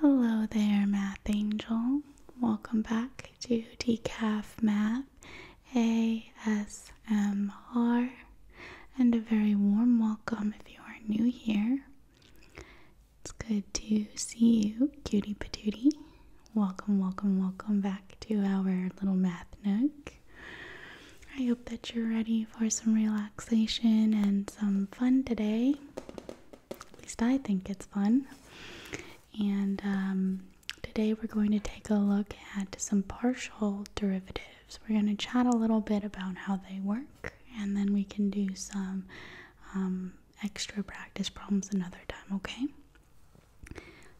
Hello there, Math Angel. Welcome back to Decaf Math ASMR, and a very warm welcome if you are new here. It's good to see you, cutie patootie. Welcome, welcome, welcome back to our little math nook. I hope that you're ready for some relaxation and some fun today. At least I think it's fun. And um, today we're going to take a look at some partial derivatives. We're going to chat a little bit about how they work, and then we can do some um, extra practice problems another time, okay?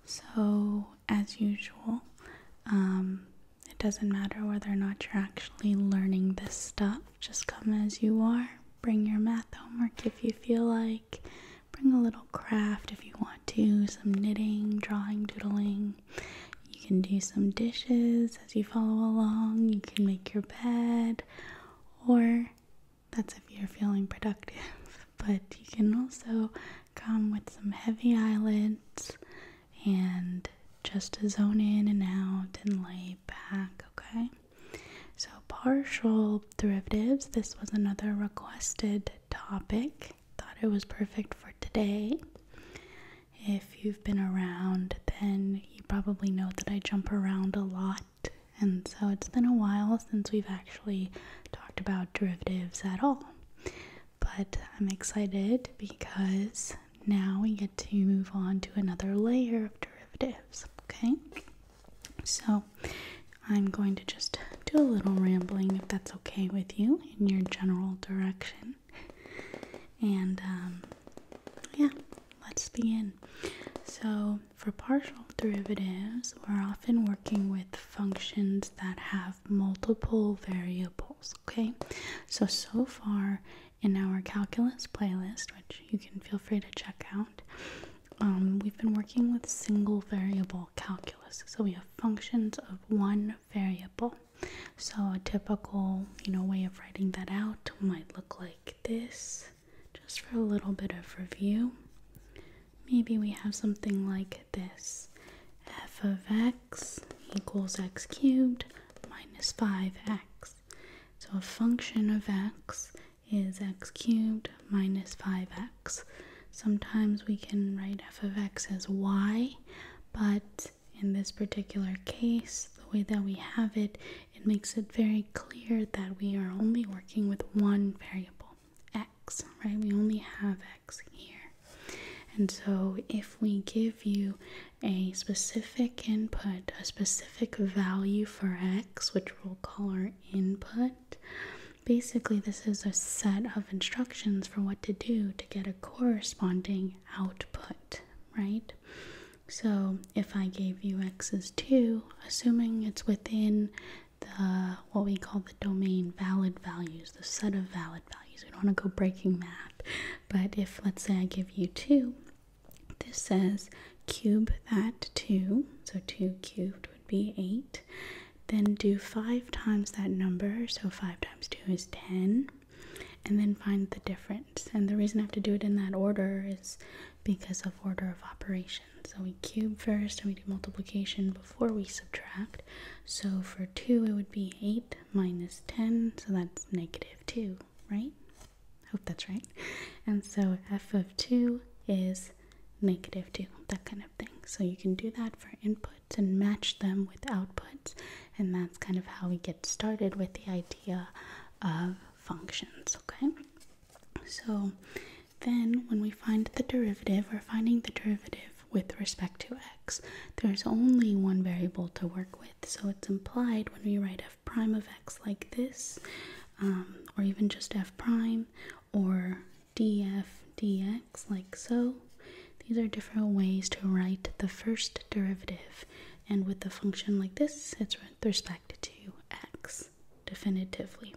So, as usual, um, it doesn't matter whether or not you're actually learning this stuff. Just come as you are. Bring your math homework if you feel like. Bring a little craft if you want to, some knitting, drawing, doodling. You can do some dishes as you follow along. You can make your bed, or that's if you're feeling productive. But you can also come with some heavy eyelids and just zone in and out and lay back, okay? So, partial derivatives, this was another requested topic. Thought it was perfect for today. If you've been around, then you probably know that I jump around a lot. And so it's been a while since we've actually talked about derivatives at all. But I'm excited because now we get to move on to another layer of derivatives Okay, so I'm going to just do a little rambling if that's okay with you in your general direction. And um, yeah, let's begin. So, for partial derivatives, we're often working with functions that have multiple variables. Okay, so so far in our calculus playlist, which you can feel free to check out, um, we've been working with single variable calculus. So we have functions of one variable. So a typical, you know, way of writing that out might look like this, just for a little bit of review. Maybe we have something like this. f of x equals x cubed minus 5x. So a function of x is x cubed minus 5x. Sometimes we can write f of x as y, but in this particular case, the way that we have it, it makes it very clear that we are only working with one variable, x, right? We only have x here. And so if we give you a specific input, a specific value for x, which we'll call our input. Basically, this is a set of instructions for what to do to get a corresponding output, right? So, if I gave you x is 2, assuming it's within the what we call the domain valid values, the set of valid values, we don't want to go breaking math, but if let's say I give you 2, this says cube that 2, so 2 cubed would be 8. Then do 5 times that number, so 5 times 2 is 10. And then find the difference. And the reason I have to do it in that order is because of order of operations. So we cube first and we do multiplication before we subtract. So for 2, it would be 8 minus 10, so that's negative 2, right? hope that's right. And so f of 2 is negative 2, that kind of thing. So you can do that for inputs and match them with outputs. And that's kind of how we get started with the idea of functions, okay? So then when we find the derivative, we're finding the derivative with respect to x. There's only one variable to work with, so it's implied when we write f prime of x like this, um, or even just f prime, or df dx like so. These are different ways to write the first derivative, and with the function like this, it's with respect to x definitively.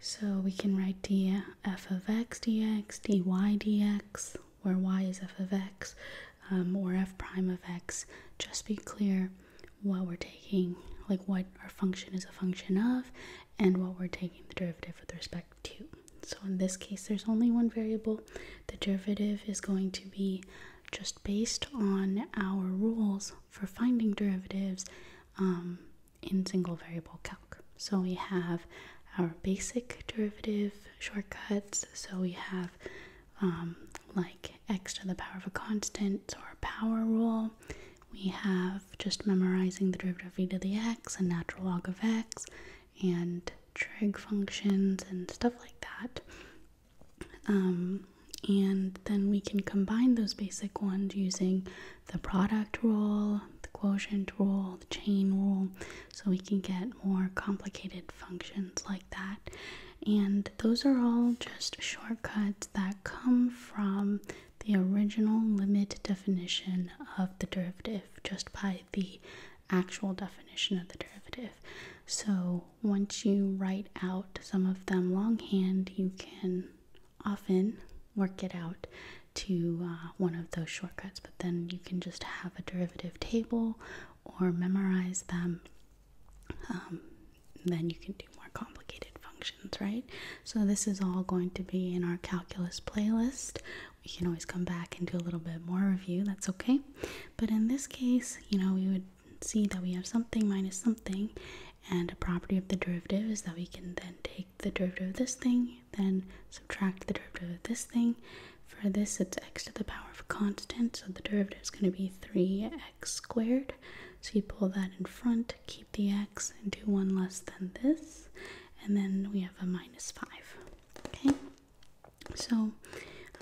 So we can write df of x dx, dy dx, where y is f of x, um, or f prime of x. Just be clear what we're taking, like what our function is a function of, and what we're taking the derivative with respect to. So in this case, there's only one variable. The derivative is going to be just based on our rules for finding derivatives um, in single variable calc. So we have our basic derivative shortcuts. So we have um, like x to the power of a constant or a power rule. We have just memorizing the derivative of e to the x and natural log of x and trig functions and stuff like that. Um, and then we can combine those basic ones using the product rule, the quotient rule, the chain rule, so we can get more complicated functions like and those are all just shortcuts that come from the original limit definition of the derivative, just by the actual definition of the derivative. So once you write out some of them longhand, you can often work it out to uh, one of those shortcuts, but then you can just have a derivative table or memorize them um, then you can do more complicated functions, right? So this is all going to be in our calculus playlist. We can always come back and do a little bit more review, that's okay. But in this case, you know, we would see that we have something minus something and a property of the derivative is that we can then take the derivative of this thing, then subtract the derivative of this thing. For this, it's x to the power of constant, so the derivative is going to be 3 x x squared. So you pull that in front, keep the x, and do one less than this. And then we have a minus 5. Okay? So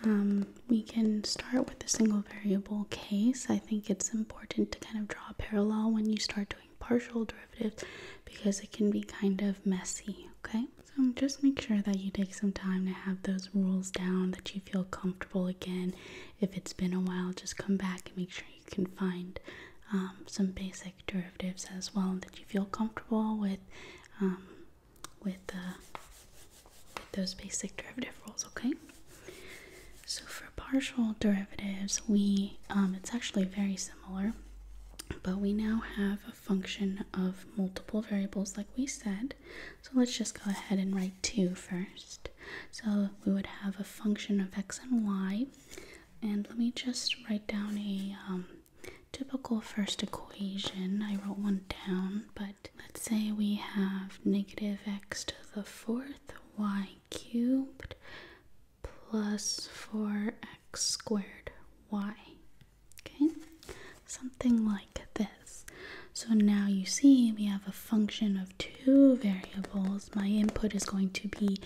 um, we can start with the single variable case. I think it's important to kind of draw a parallel when you start doing partial derivatives because it can be kind of messy. Okay? So just make sure that you take some time to have those rules down, that you feel comfortable again if it's been a while, just come back and make sure you can find um, some basic derivatives as well that you feel comfortable with, um, uh, with, those basic derivative rules. Okay. So for partial derivatives, we um, it's actually very similar, but we now have a function of multiple variables, like we said. So let's just go ahead and write 2 first. So we would have a function of x and y. And let me just write down a um, typical first equation. I wrote one down, but let's say we have negative x to the fourth y cubed plus 4x squared y. Okay, something like this. So now you see we have a function of two variables. My input is going to be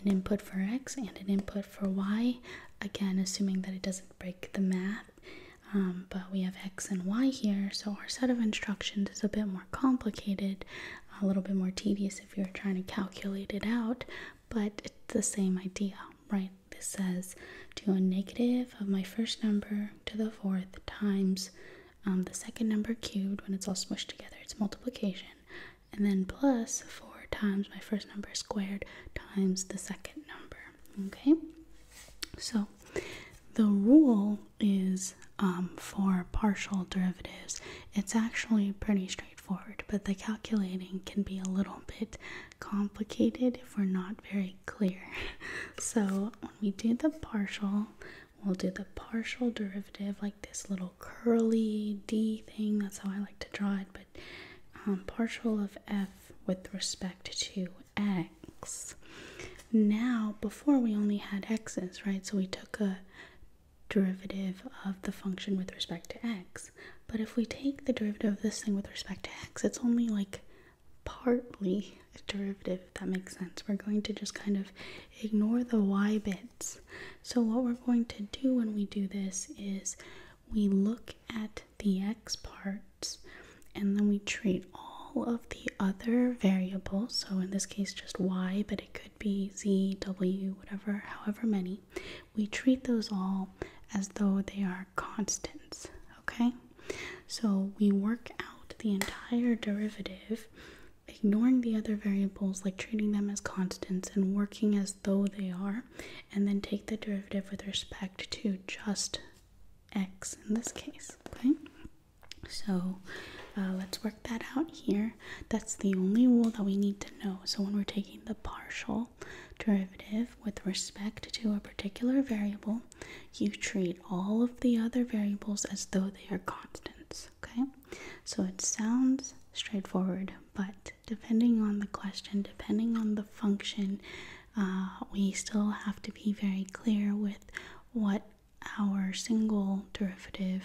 an input for x and an input for y. Again, assuming that it doesn't break the math. Um, but we have x and y here, so our set of instructions is a bit more complicated, a little bit more tedious if you're trying to calculate it out, but it's the same idea, right? This says do a negative of my first number to the fourth times um, the second number cubed when it's all smushed together, it's multiplication. And then plus 4 times my first number squared times the second number. Okay? So the rule is um, for partial derivatives, it's actually pretty straightforward, but the calculating can be a little bit complicated if we're not very clear. So when we do the partial, we'll do the partial derivative like this little curly D thing. That's how I like to draw it. But um, partial of f with respect to x. Now, before we only had x's, right? So we took a derivative of the function with respect to x. But if we take the derivative of this thing with respect to x, it's only like partly a derivative, if that makes sense. We're going to just kind of ignore the y bits. So, what we're going to do when we do this is we look at the x parts and then we treat all of the other variables. So, in this case, just y, but it could be z, w, whatever, however many. We treat those all as though they are constants, okay? So we work out the entire derivative, ignoring the other variables, like treating them as constants and working as though they are, and then take the derivative with respect to just x in this case, okay? So uh, let's work that out here. That's the only rule that we need to know. So when we're taking the partial derivative with respect to a particular variable, you treat all of the other variables as though they are constants. Okay? So it sounds straightforward, but depending on the question, depending on the function, uh, we still have to be very clear with what our single derivative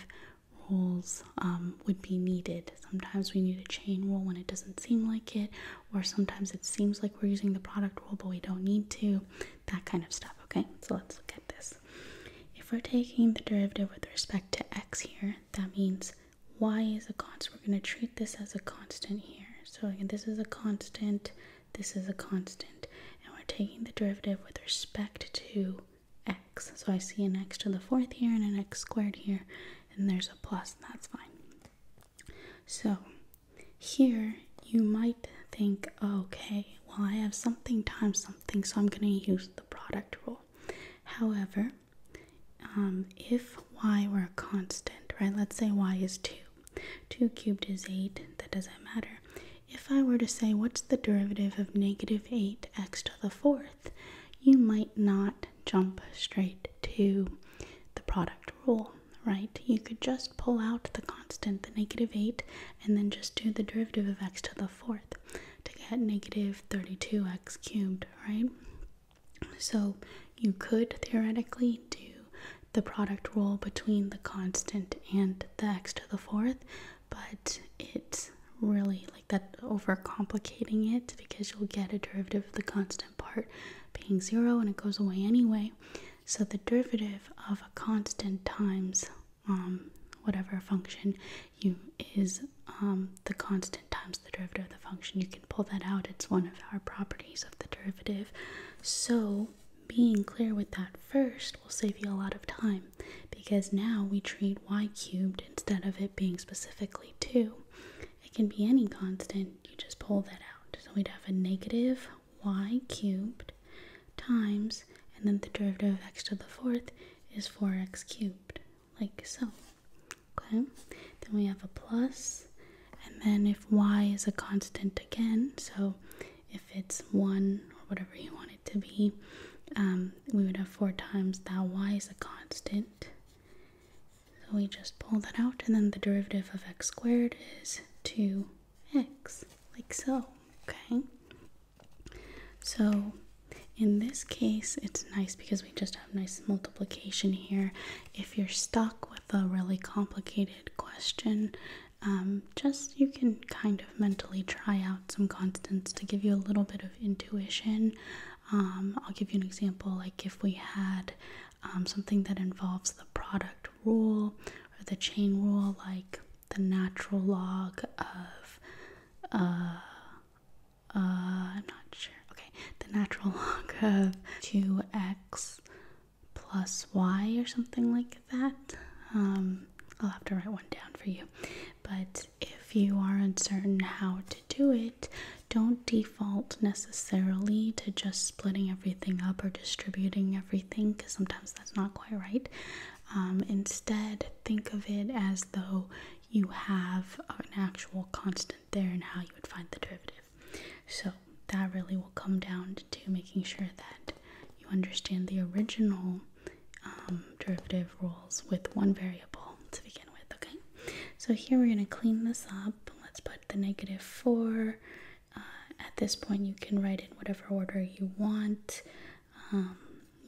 rules um, would be needed. Sometimes we need a chain rule when it doesn't seem like it, or sometimes it seems like we're using the product rule but we don't need to that kind of stuff, okay? So let's look at this. If we're taking the derivative with respect to x here, that means y is a constant. We're going to treat this as a constant here. So again, this is a constant, this is a constant, and we're taking the derivative with respect to x. So I see an x to the fourth here and an x squared here, and there's a plus, and that's fine. So here, you might think, okay, well, I have something times something, so I'm going to use the product rule. However, um, if y were a constant, right, let's say y is 2, 2 cubed is 8, that doesn't matter. If I were to say, what's the derivative of negative 8x to the fourth, you might not jump straight to the product rule right? You could just pull out the constant, the negative 8, and then just do the derivative of x to the fourth to get negative 32x cubed, right? So you could theoretically do the product rule between the constant and the x to the fourth, but it's really like that overcomplicating it because you'll get a derivative of the constant part being zero and it goes away anyway. So the derivative of a constant times um, whatever function you is um, the constant times the derivative of the function. You can pull that out. It's one of our properties of the derivative. So being clear with that first will save you a lot of time because now we treat y cubed instead of it being specifically 2. It can be any constant. You just pull that out. So we'd have a negative y cubed times, and then the derivative of x to the fourth is 4x cubed, like so. Okay, then we have a plus, and then if y is a constant again, so if it's 1 or whatever you want it to be, um, we would have 4 times that y is a constant. So we just pull that out, and then the derivative of x squared is 2 X, like so, okay? So in this case, it's nice because we just have nice multiplication here. If you're stuck with a really complicated question, um, just you can kind of mentally try out some constants to give you a little bit of intuition. Um, I'll give you an example like if we had um, something that involves the product rule or the chain rule, like the natural log of, uh, uh I'm not sure. Okay, the natural log of 2x plus y or something like that. Um, I'll have to write one down for you. But if you are uncertain how to do it, don't default necessarily to just splitting everything up or distributing because sometimes that's not quite right. Um, instead, think of it as though you have an actual constant there and how you would find the derivative. So that really will come down to making sure that you understand the original um, derivative rules with one variable to begin with. Okay, so here we're going to clean this up. Let's put the negative 4 uh, at this point, you can write in whatever order you want. Um,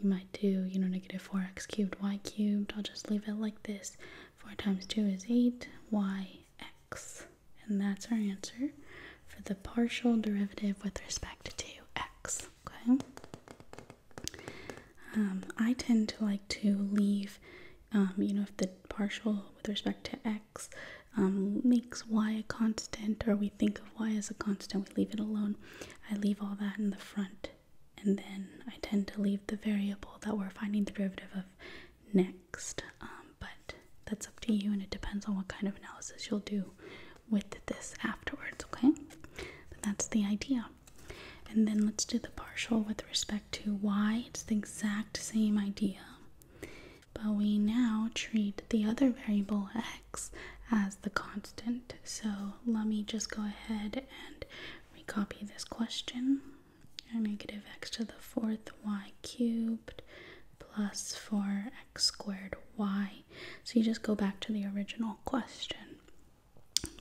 you might do, you know, negative 4x cubed y cubed. I'll just leave it like this. 4 times 2 is 8, y, x. And that's our answer for the partial derivative with respect to x. Okay? Um, I tend to like to leave, um, you know, if the partial with respect to x um, makes y a constant, or we think of y as a constant, we leave it alone. I leave all that in the front, and then I tend to leave the variable that we're finding the derivative of next. Um, but that's up to you, and it depends on what kind of analysis you'll do with this afterwards, okay? that's the idea. And then let's do the partial with respect to y. It's the exact same idea. But we now treat the other variable x as the constant. So let me just go ahead and recopy this question. Negative x to the fourth y cubed plus 4x squared y. So you just go back to the original question.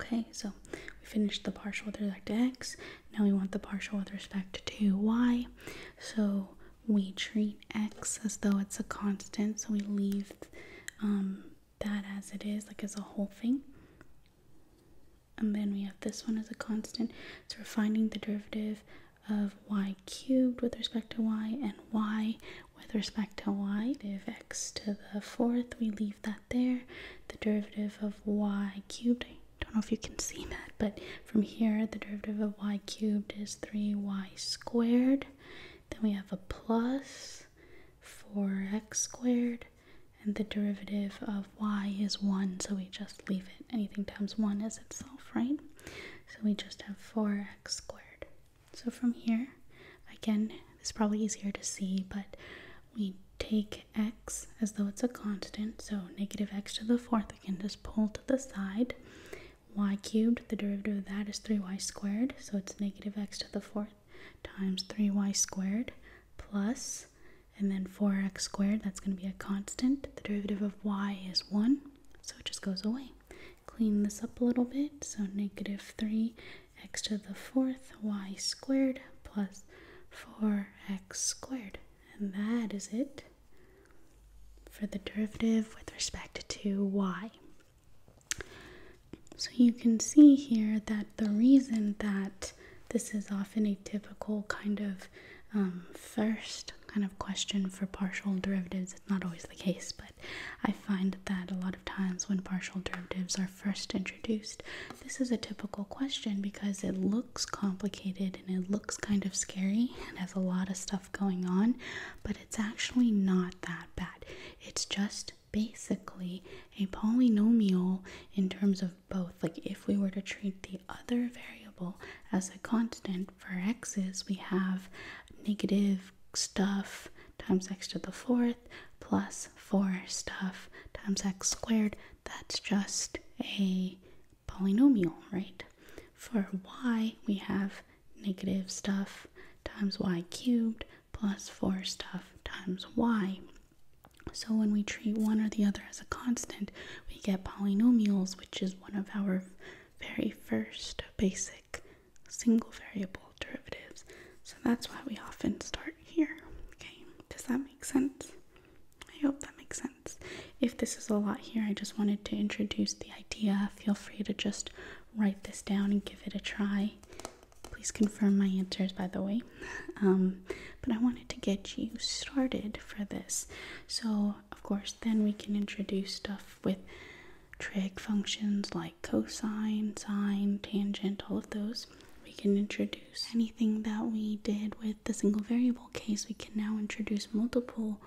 Okay, so we finished the partial with respect to x. Now we want the partial with respect to y. So we treat x as though it's a constant, so we leave um, that as it is, like as a whole thing. And then we have this one as a constant. So we're finding the derivative of y cubed with respect to y and y with respect to y. If x to the fourth, we leave that there. The derivative of y cubed, I don't know if you can see that, but from here, the derivative of y cubed is 3y squared. Then we have a plus 4x squared. And the derivative of y is 1, so we just leave it. Anything times 1 is itself, right? So we just have 4x squared. So from here, again, it's probably easier to see, but we take x as though it's a constant, so negative x to the fourth, we can just pull to the side y cubed, the derivative of that is 3y squared, so it's negative x to the fourth times 3y squared plus, and then 4x squared, that's going to be a constant. The derivative of y is 1, so it just goes away. Clean this up a little bit, so negative 3x to the fourth y squared plus 4x squared. And that is it for the derivative with respect to y. So you can see here that the reason that this is often a typical kind of um, first kind of question for partial derivatives. It's not always the case, but I find that a lot of times when partial derivatives are first introduced, this is a typical question because it looks complicated and it looks kind of scary and has a lot of stuff going on, but it's actually not that bad. It's just basically a polynomial in terms of both. Like if we were to treat the other variable as a constant for x's, we have negative stuff times x to the fourth plus 4 stuff times x squared. That's just a polynomial, right? For y, we have negative stuff times y cubed plus 4 stuff times y. So when we treat one or the other as a constant, we get polynomials, which is one of our very first basic single variable derivatives. So that's why we often start here. Okay, does that make sense? I hope that makes sense. If this is a lot here, I just wanted to introduce the idea. Feel free to just write this down and give it a try. Please confirm my answers, by the way. Um, but I wanted to get you started for this. So, of course, then we can introduce stuff with trig functions like cosine, sine, tangent, all of those. We can introduce anything that we did with the single variable case, we can now introduce multiple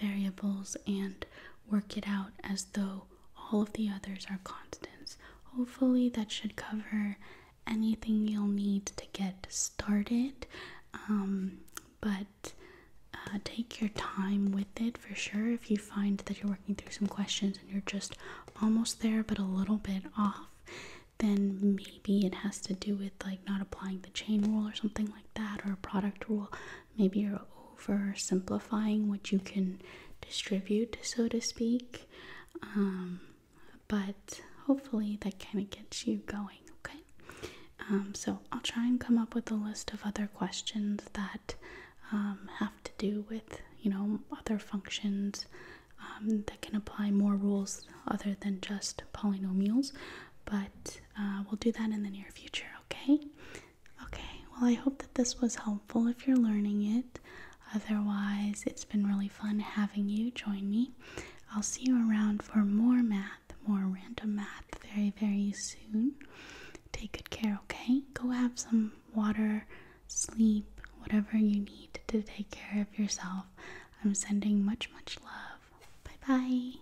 variables and work it out as though all of the others are constants. Hopefully, that should cover anything you'll need to get started. Um, but uh, take your time with it for sure. If you find that you're working through some questions and you're just almost there but a little bit off, then maybe it has to do with like not applying the chain rule or something like that or a product rule maybe you're oversimplifying what you can distribute, so to speak. Um, but hopefully that kind of gets you going, okay? Um, so I'll try and come up with a list of other questions that um, have to do with, you know, other functions that can apply more rules other than just polynomials. But uh, we'll do that in the near future, okay? Okay, well, I hope that this was helpful if you're learning it. Otherwise, it's been really fun having you join me. I'll see you around for more math, more random math very, very soon. Take good care, okay? Go have some water, sleep, whatever you need to take care of yourself. I'm sending much, much love. Bye bye.